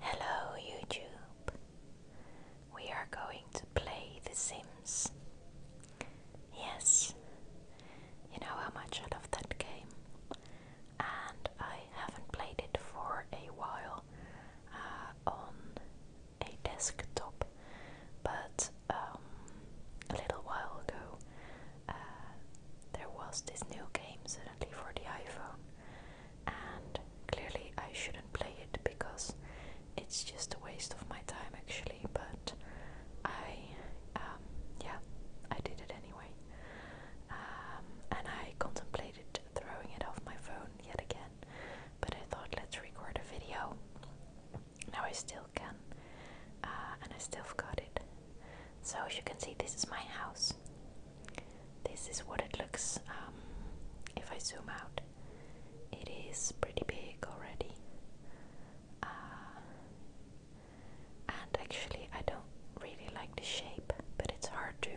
Hello YouTube! We are going to play The Sims. Yes, you know how much I love that game, and I haven't played it for a while uh, on a desktop, but um, a little while ago uh, there was this new game suddenly for the iPhone and clearly I shouldn't play it because it's just a waste of my time actually, but I, um, yeah, I did it anyway. Um, and I contemplated throwing it off my phone yet again, but I thought let's record a video. Now I still can, uh, and I still forgot it, so as you can see, this is my house. This is what it looks um, if I zoom out. It is pretty big already. Uh, and actually, I don't really like the shape, but it's hard to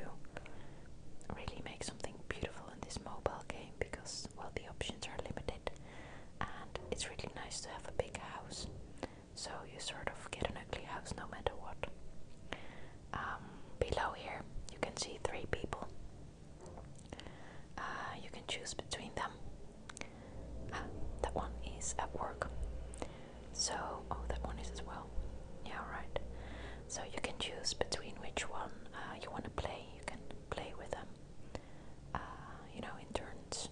really make something beautiful in this mobile game because, well, the options are limited. And it's really nice to have a big house so you sort of get an ugly house no matter what. Um, below here, you can see three people. Uh, you can choose between them. Ah, that one is at work. So, oh, that one is as well. Yeah, right. So you can choose between which one uh, you want to play. You can play with them, uh, you know, in turns.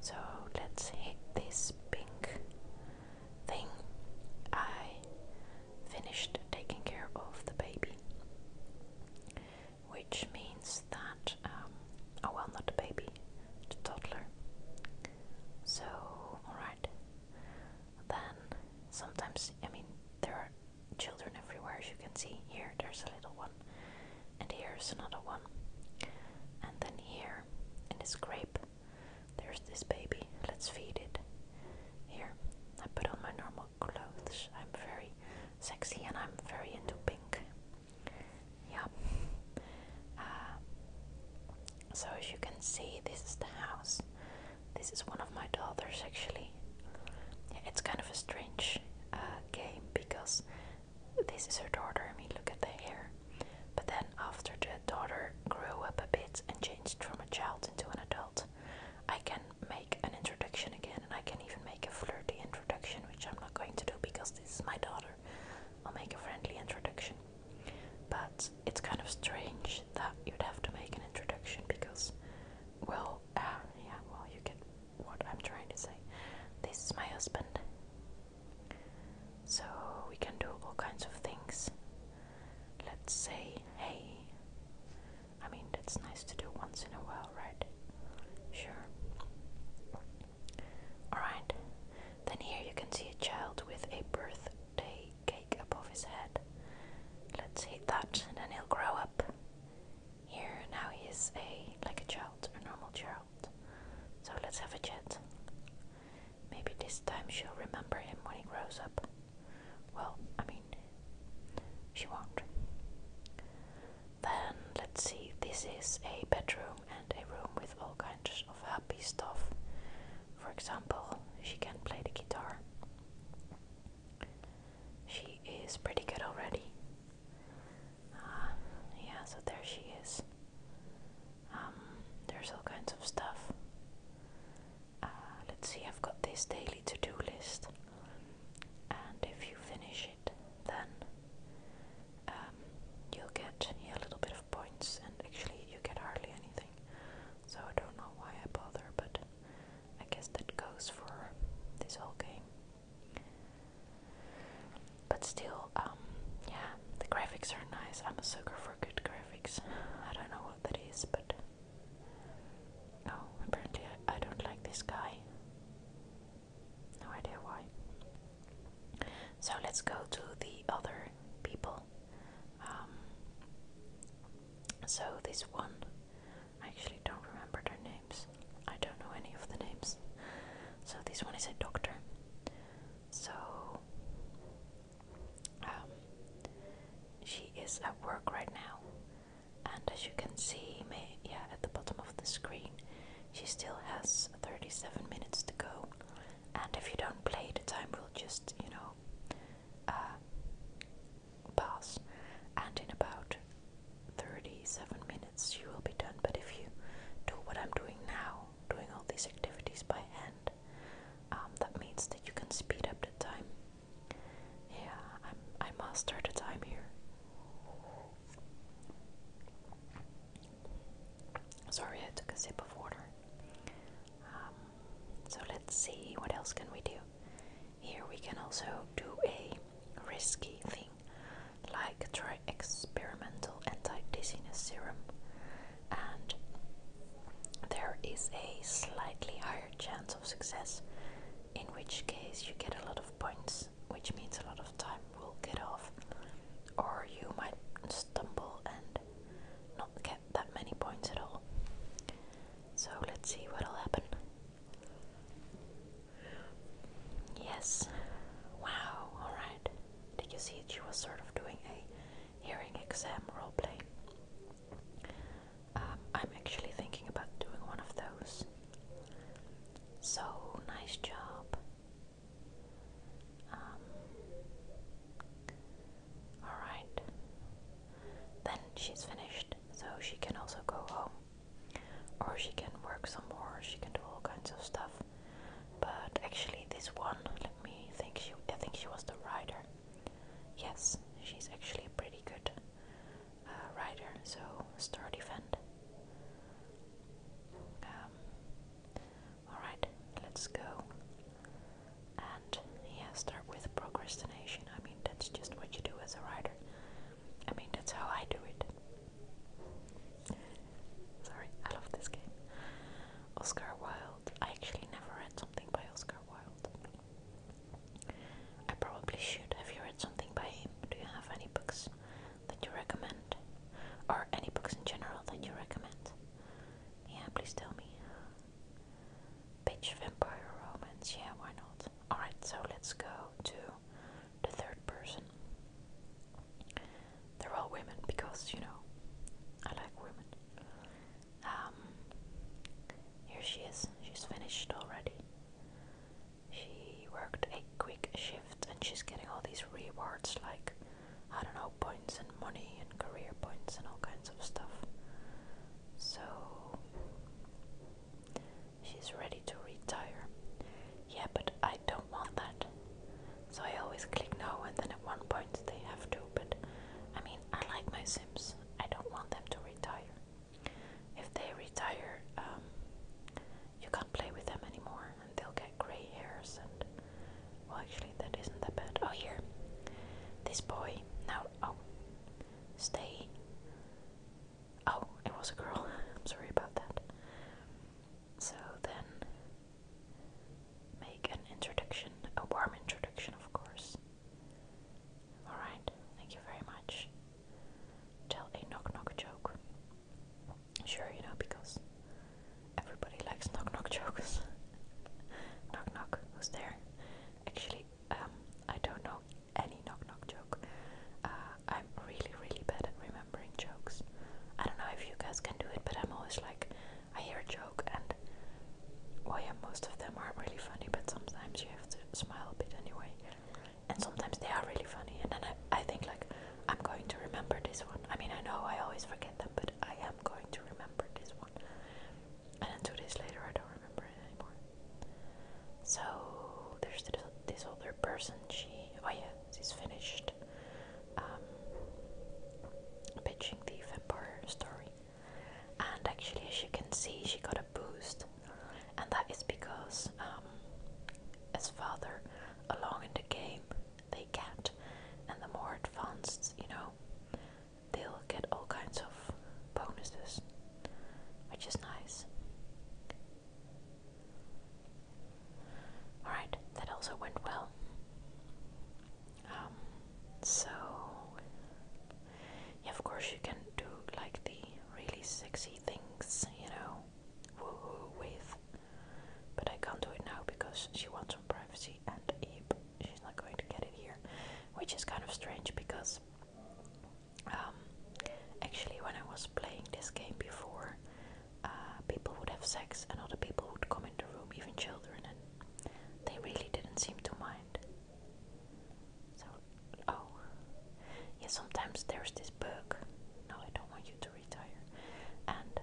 So let's hit this pink thing, I finished taking care of the baby, which means that, um, oh well, not the baby, the toddler. So, alright. Then, sometimes, I mean, there are children everywhere, as you can see. Here, there's a little one, and here's another one, and then here in this gray there's this baby. Let's feed it. Here, I put on my normal clothes. I'm very sexy and I'm very into pink. Yeah. Uh, so, as you can see, this is the house. This is one of my daughters, actually. it's kind of a strange uh, game because this is her daughter. I mean, look at the hair. But then, after the daughter grew up a bit and changed from a child into an adult, I can make an introduction again, and I can even make a flirty introduction, which I'm not going to do because this is my daughter. I'll make a friendly introduction. But it's kind of strange that you'd have to make an introduction because, well, uh, yeah, well, you get what I'm trying to say. This is my husband. So we can do all kinds of things. Let's say, hey. I mean, that's nice to do once in a while, right? Sure. Alright. Then here you can see a child with a birthday cake above his head. Let's hit that and then he'll grow up. Here now he is a like a child, a normal child. So let's have a chat. Maybe this time she'll remember him when he grows up. Well, I mean, she won't. Then let's see, this is a bedroom and a room with all kinds of happy stuff. For example, she can play the guitar. She is pretty good already. Ah, yeah, so there she is. Um, there's all kinds of stuff. Uh, let's see, I've got this daily to do list, and if you finish it, then um, you'll get a little bit of points, and actually, you get hardly anything. So, I don't know why I bother, but I guess that goes for this whole game. But still, um, yeah, the graphics are nice. I'm a sucker for good graphics. I don't know what that is, but. Oh, apparently I, don't like this guy. No idea why. So let's go to the other people. Um, so this one, I actually don't remember their names. I don't know any of the names. So this one is a doctor. So um, she is at work right now, and as you can see, yeah, at the bottom of the screen, she still has 37 minutes to go. And if you don't play, the time will just, you know, uh, pass. And in about 37 minutes, you will be done. But if you do what I'm doing now, doing all these activities by hand, um, that means that you can speed up the time. Yeah, I'm, I master the time here. Sorry, I took a sip of water. Um, so let's see what else can we do. Here we can also do a risky theme like try experimental anti-dizziness serum and there is a slightly higher chance of success in which case you get a lot of points which means a lot of time will get off or you might stumble and not get that many points at all so let's see what'll happen Yes. Wow, alright. Did you see it? She was sort of doing a hearing exam role Um, I'm actually thinking about doing one of those. So, nice job. Um, alright. Then she's finished, so she can also go home. Or she can work some more, she can do all kinds of stuff. But actually, this one, let me think. She, I think she was the rider. Yes, she's actually a pretty good uh, rider. So start defend. Um, all right, let's go. And yeah, start with procrastination. I mean, that's just what you do as a rider. I mean, that's how I do it. Sorry, I love this game. Oscar Wilde. I actually never read something by Oscar Wilde. I probably should. Have you read something by him? Do you have any books that you recommend? Or any books in general that you recommend? Yeah, please tell me. Bitch Vampire Romance, yeah, why not? Alright, so let's go to the third person. They're all women because, you know, I like women. Um, here she is. She's finished already. She worked a quick shift and she's getting all these rewards like, I don't know, points and money and career points and all kinds of stuff. So, She's ready to retire. Yeah, but I don't want that. So I always click no, and then at one point they have to. But I mean, I like my Sims. I don't want them to retire. If they retire, um, you can't play with them anymore, and they'll get grey hairs. And well, actually, that isn't that bad. Oh, here, this boy now. Oh, stay. Oh, it was a girl. I'm sorry about that. So then make an introduction, a warm introduction, of course. Alright, thank you very much. Tell a knock knock joke. Sure, you know, because everybody likes knock knock jokes. knock knock, who's there? Actually, um, I don't know any knock knock uh, I'm really, really bad at remembering jokes. I don't know if you guys can do it, but I'm always like, I hear a joke, and well, yeah, most of them aren't really funny, but sometimes you have to smile a bit anyway. And sometimes they are really funny, and then I, I think, like, I'm going to remember this one. I mean, I know I always forget them, but I am going to remember this one. And then two days later, I don't remember it anymore. So, there's this, this other person she oh yeah she's finished um, pitching the vampire story and actually as you can see she got a boost and that is because um, as father along in the game they get and the more advanced you know they'll get all kinds of bonuses which is nice Alright, that also went well. Um, so, yeah, of course, you can do like the really sexy things, you know, woohoo with. But I can't do it now because she wants some privacy and she's not going to get it here, which is kind of strange because um, actually, when I was playing this game before, uh, people would have sex and other people would come in the room, even children, and they really didn't seem to mind. So, oh, yeah, sometimes there's this bug. No, I don't want you to retire. And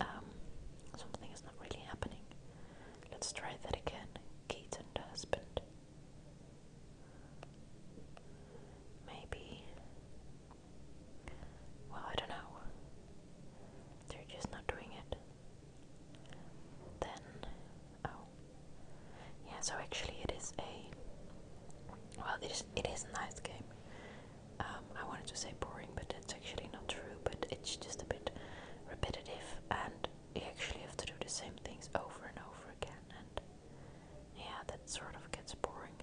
um, something is not really happening. Let's try that again. Keaton, the husband. Maybe. Well, I don't know. They're just not doing it. Then. Oh. Yeah, so actually, it is a. Well, it is, it is a nice game. Um, I wanted to say boring, but that's actually not true, but it's just a bit repetitive and you actually have to do the same things over and over again and yeah, that sort of gets boring.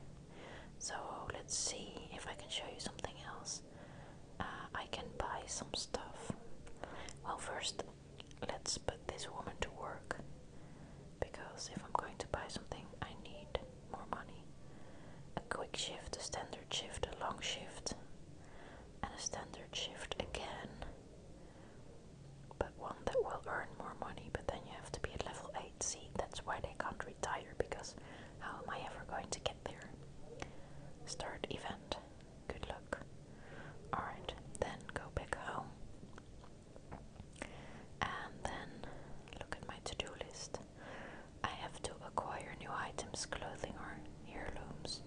So let's see if I can show you something else. Uh, I can buy some stuff. Well, first, let's put this woman to work because if I'm going to buy something, I need more money. A quick shift, a standard shift, a long shift, and a standard shift again but one that will earn more money, but then you have to be at level 8 seed. That's why they can't retire, because how am I ever going to get there? Start event. Good luck. Alright, then go back home. And then look at my to do list. I have to acquire new items, clothing, or heirlooms,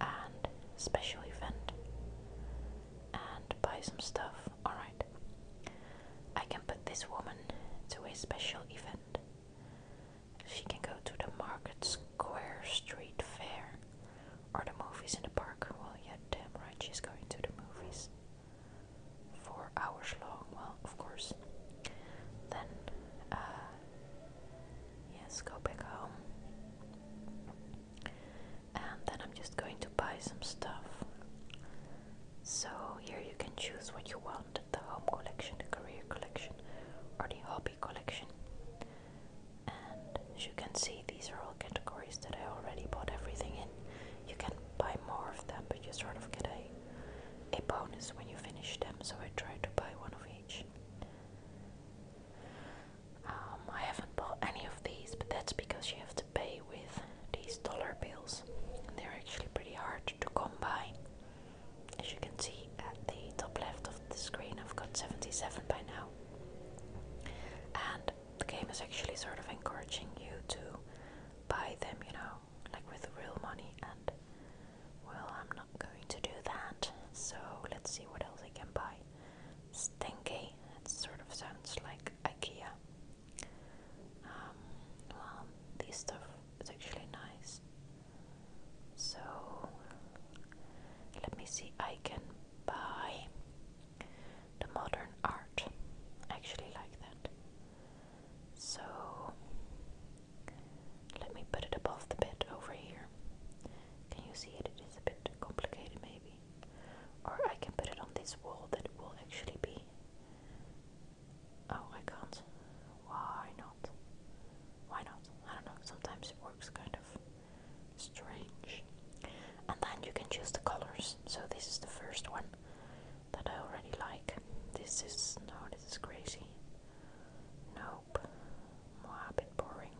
and special event, and buy some stuff, Alright. I can put this woman to a special event. She can go to the Market Square Street Fair or the movies in the park. Well, yeah, damn right, she's going to the movies. Four hours long, well, of course. Then, uh, yes, go back home and then I'm just going to buy some stuff. So here you can choose what you want, the home collection, the career collection, or the hobby collection. And as you can see, these are all categories that I already bought everything in. You can buy more of them, but you sort of get a, a bonus when you finish them, so I try to buy one of each. Um, I haven't bought any of these, but that's because you have to pay with these dollar bills. and They're actually pretty hard to come by. As you can see at the top left of the screen, I've got 77 by now. And the game is actually sort of encouraging you to buy them, you know, like with real money. And well, I'm not going to do that, so let's see what else I can buy stinky. It sort of sounds like IKEA. Um, well, this stuff is actually nice. So let me see. I can buy the modern art. actually like that. So let me put it above the bed over here. Can you see it? It is a bit complicated, maybe. Or I can put it on this wall that will actually be. Oh, I can't. Why not? Why not? I don't know. Sometimes it works kind of strange. And then you can choose the colors. So this is the first one that I already like. This is no, this is crazy. Nope. More a bit boring.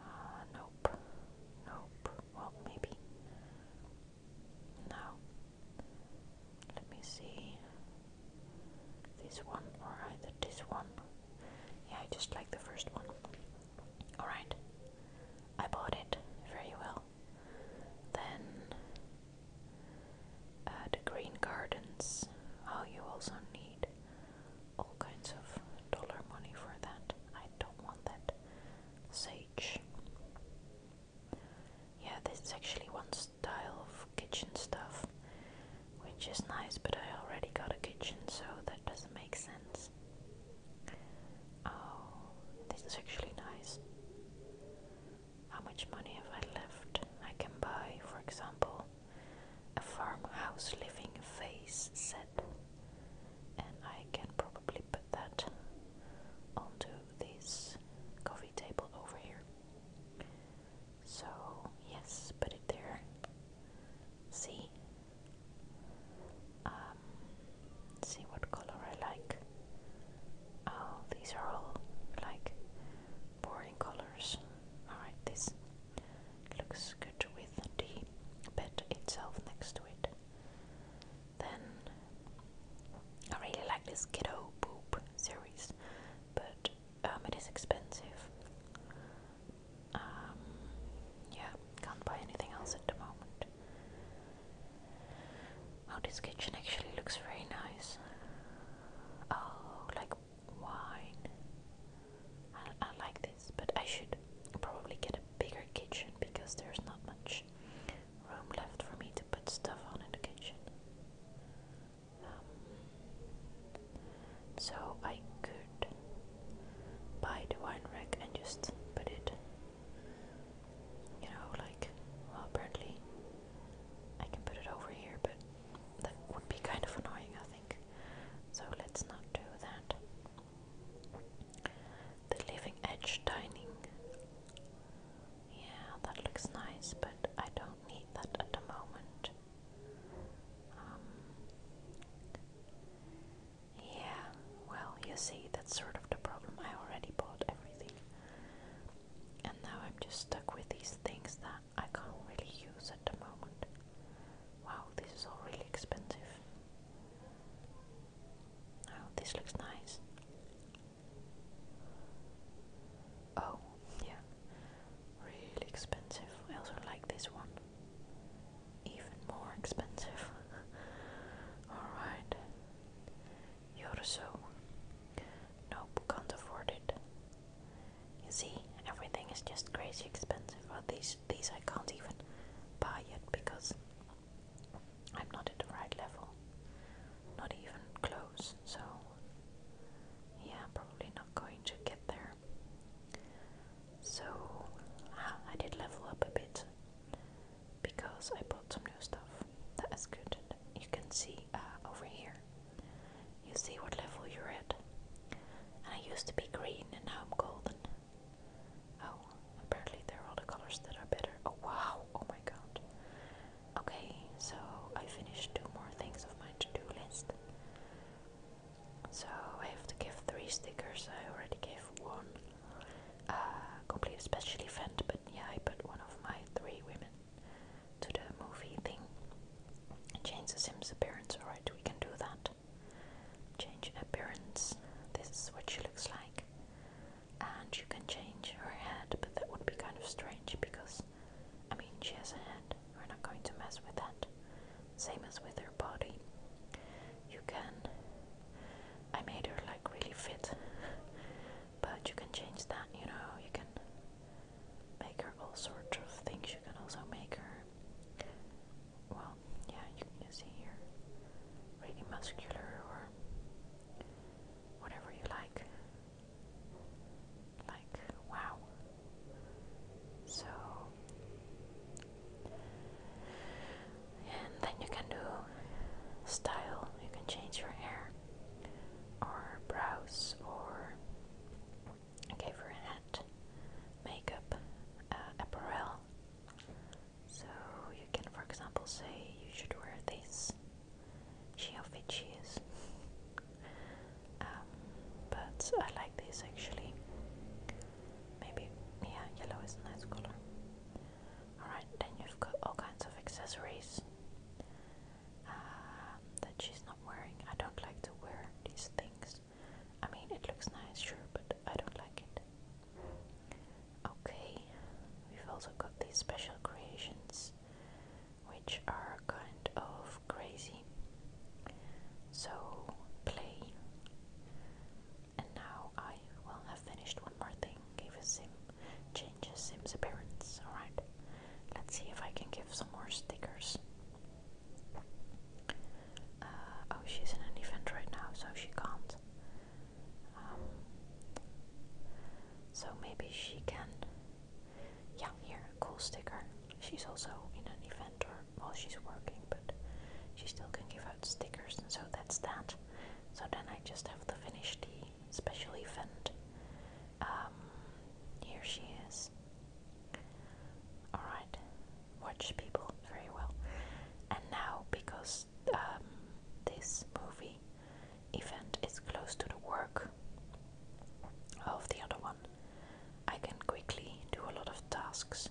Uh, nope. Nope. Well, maybe. No. Let me see. This one, or either this one. Yeah, I just like the first one. Alright. I bought it. Very well. Then. Uh, the Green Gardens. Oh, you also need all kinds of dollar money for that. I don't want that. Sage. Yeah, this is actually one style of kitchen stuff, which is nice, but I already got a kitchen, so that doesn't make sense. Oh, this is actually nice. How much money have I left? I can buy, for example, a farmhouse living face set, and I can probably put that onto this coffee table over here. So, yes, put it there. See? Um, see what color I like. Oh, these are all like boring colors. Alright, this looks good with the bed itself next to it. Then I really like this Kiddo Boop series, but um, it is expensive. Um, yeah, can't buy anything else at the moment. Oh, this kitchen actually looks very nice. Oh, like wine. I, like this, but I should probably get a bigger kitchen because there's not much room left for me to put stuff on in the kitchen. Um, so I could buy the wine rack and just put it, you know, like, apparently I can put it over here, but that would be kind of annoying, I so let's not do that. The living edge dining. Yeah, that looks nice, but I don't need that at the moment. Um, yeah, well, you see, that's sort of the problem. I already bought everything. And now I'm just stuck with these things that I can't really use at the moment. Wow, this is all really expensive. Oh, this looks nice. Oh, yeah, really expensive. I also like this one. Even more expensive. Alright. Yoruso. Nope, can't afford it. You see, everything is just crazy expensive. Well, these these I can't even buy yet because I'm not at the right level. Not even close. So yeah, probably not going to get there. So ah, I did level up a bit because I bought some new stuff. That is good. You can see uh, over here you see what level you're at. And I used to be green and now I'm golden. Oh, apparently there are other colors that are better. Oh wow, oh my god. Okay, so I finished two more things of my to-do list. So I have to give three stickers, I already gave one. Uh, complete a special event, but yeah, I put one of my three women to the movie thing. Change the Sims appearance. Alright, we can do that. Change appearance. This is what she looks like. And you can change her head, but that would be kind of strange because, I mean, she has a head. We're not going to mess with that. Same as with her body. You can. I made her like really fit, but you can change that, you know. You can make her all sorts of things. You can also make her, well, yeah, you can see here, really muscular or whatever you like. Like, wow. So, and then you can do style, you can change your hair or brows or gave her a hat, makeup, uh, apparel. So you can, for example, say you should wear this. She how she is. um, but I like this actually. Maybe yeah, yellow is a nice color. Alright, then you've got all kinds of accessories. Um, that she's not wearing. I don't like to wear these things. I mean, it looks nice, sure, but I don't like it. Okay, we've also got these special creations, which are kind of crazy. So, play. And now I will have finished one more thing. Give a sim, change sim's appearance. Alright, let's see if I can give some more stickers. Uh, oh, she's in an event right now, so she can't. Um, so maybe she can. Yeah, here, a cool sticker. She's also in an event or while she's working, but she still can give out stickers, and so that's that. So then I just have to finish the special event. Um, here she is. Alright, watch people very well. And now, because um, this movie event is close to the work of the other one, I can quickly do a lot of tasks.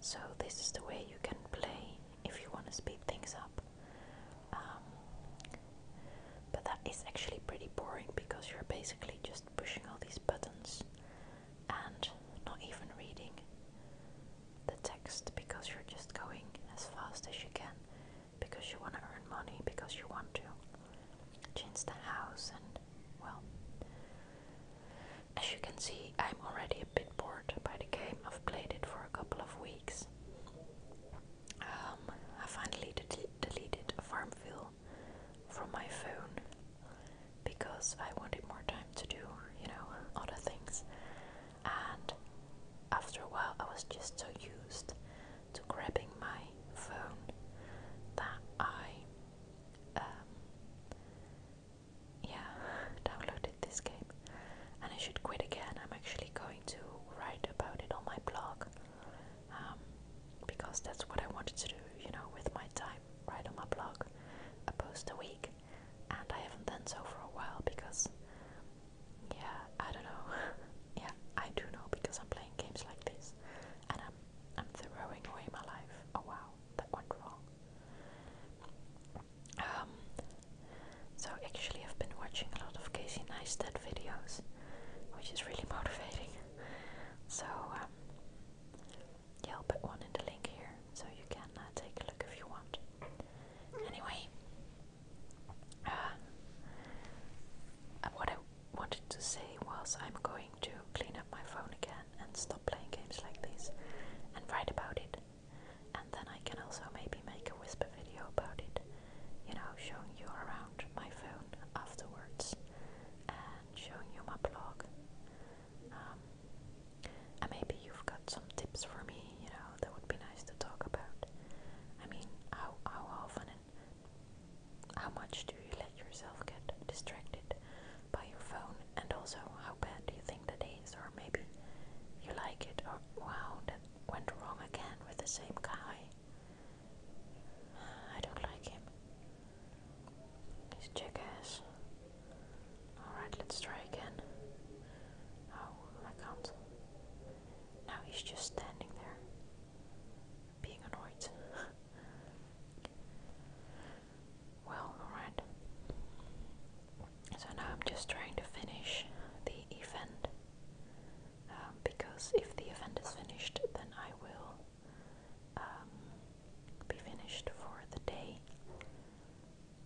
So, this is the way you can play if you want to speed things up. Um, but that is actually pretty boring because you're basically just pushing all these buttons and not even reading the text because you're just going as fast as you can because you want to earn money, because you want to change the house, and well, as you can see, I'm already a bit bored by the game. I've played it for a couple of weeks. Um, I finally de deleted Farmville from my phone because I wanted more time to do, you know, other things. And after a while, I was just so used to grabbing my phone that I, um, yeah, downloaded this game. And I should quit again. I'm actually going to write about it on my blog um, because that's what I wanted to do, you know, with my time, right on my blog, a post a week, and I haven't done so for a while because, yeah, I don't know, yeah, I do know because I'm playing games like this, and I'm I'm throwing away my life. Oh wow, that went wrong. Um, so actually, I've been watching a lot of Casey Neistat videos, which is really motivating. So um, yeah, I'll put one in the link here so you can uh, take a look if you want. Anyway, uh, uh, what I wanted to say was I'm going to clean up my phone again and stop playing games like this and write about it. And then I can also maybe make a whisper video about it you know, showing you around my phone afterwards and showing you my blog. Um, and maybe you've got some tips for me, you know, that would be nice to talk about. I mean, how, how often and how much do you let yourself get distracted by your phone? And also, how bad do you think the days Or maybe you like it, or wow, that went wrong again with the same guy. I don't like him. He's jackass. Alright, let's try again. Oh, I can't. Now he's just standing there, being annoyed. well, alright. So now I'm just trying to finish the event. Um, because if the event is finished, then I will um, be finished for the day.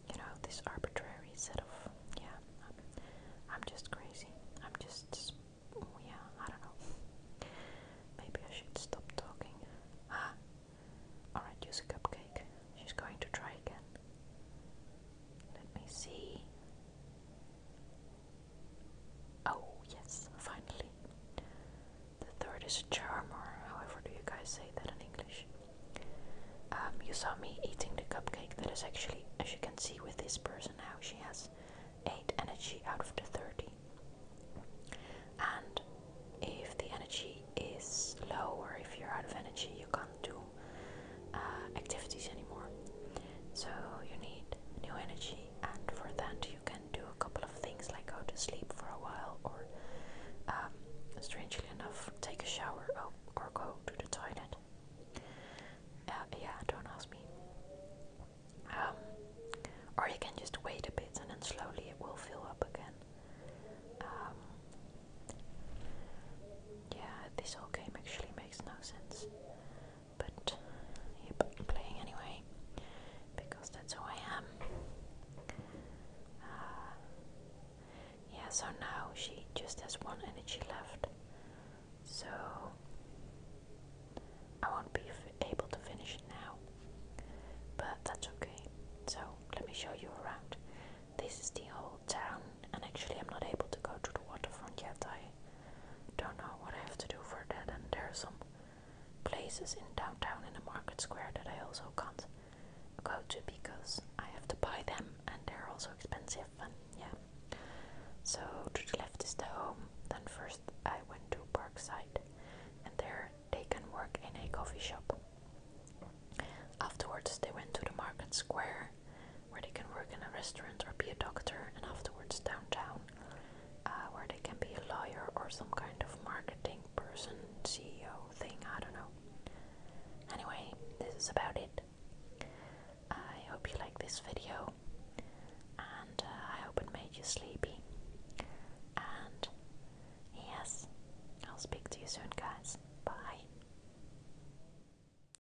You know, this arbitrary set of yeah. I'm, just crazy. I'm just yeah. I don't know. Maybe I should stop talking. Ah, all right. Use a cupcake. She's going to try again. Let me see. Oh, yes, finally. The third is a charmer. however do you guys say that in English? Um, you saw me eating the cupcake that is actually, as you can see with this person now, she has 8 energy out of the 30. And if the energy is low, or if you're out of energy, you can't do uh, activities anymore. So you need new energy, and for that you can do a couple of things like go to sleep for a while, or um, strangely enough, take a shower oh, or, go to the toilet. Uh, yeah, don't ask me. Um, or you can just wait a bit, and then slowly it will fill up again. Um, yeah, this whole game actually makes no sense but yep, playing anyway because that's who I am. Uh, yeah, so now she just has one energy left, so I won't be able to finish it now, but that's okay. So let me show you around. This is the whole town, and actually, I'm not able to go to the waterfront yet. I don't know what I have to do for that, and there are some places in downtown in the market square that I also can't go to because I have to buy them and they're also expensive and yeah. So to the left is the home. Then first I went to Parkside and there they can work in a coffee shop. Afterwards they went to the market square where they can work in a restaurant or be a doctor, and afterwards downtown, uh, where they can be a lawyer or some kind of marketing person, CEO thing, I don't know. Anyway, this is about it. I hope you like this video, and uh, I hope it made you sleepy. And yes, I'll speak to you soon, guys. Bye.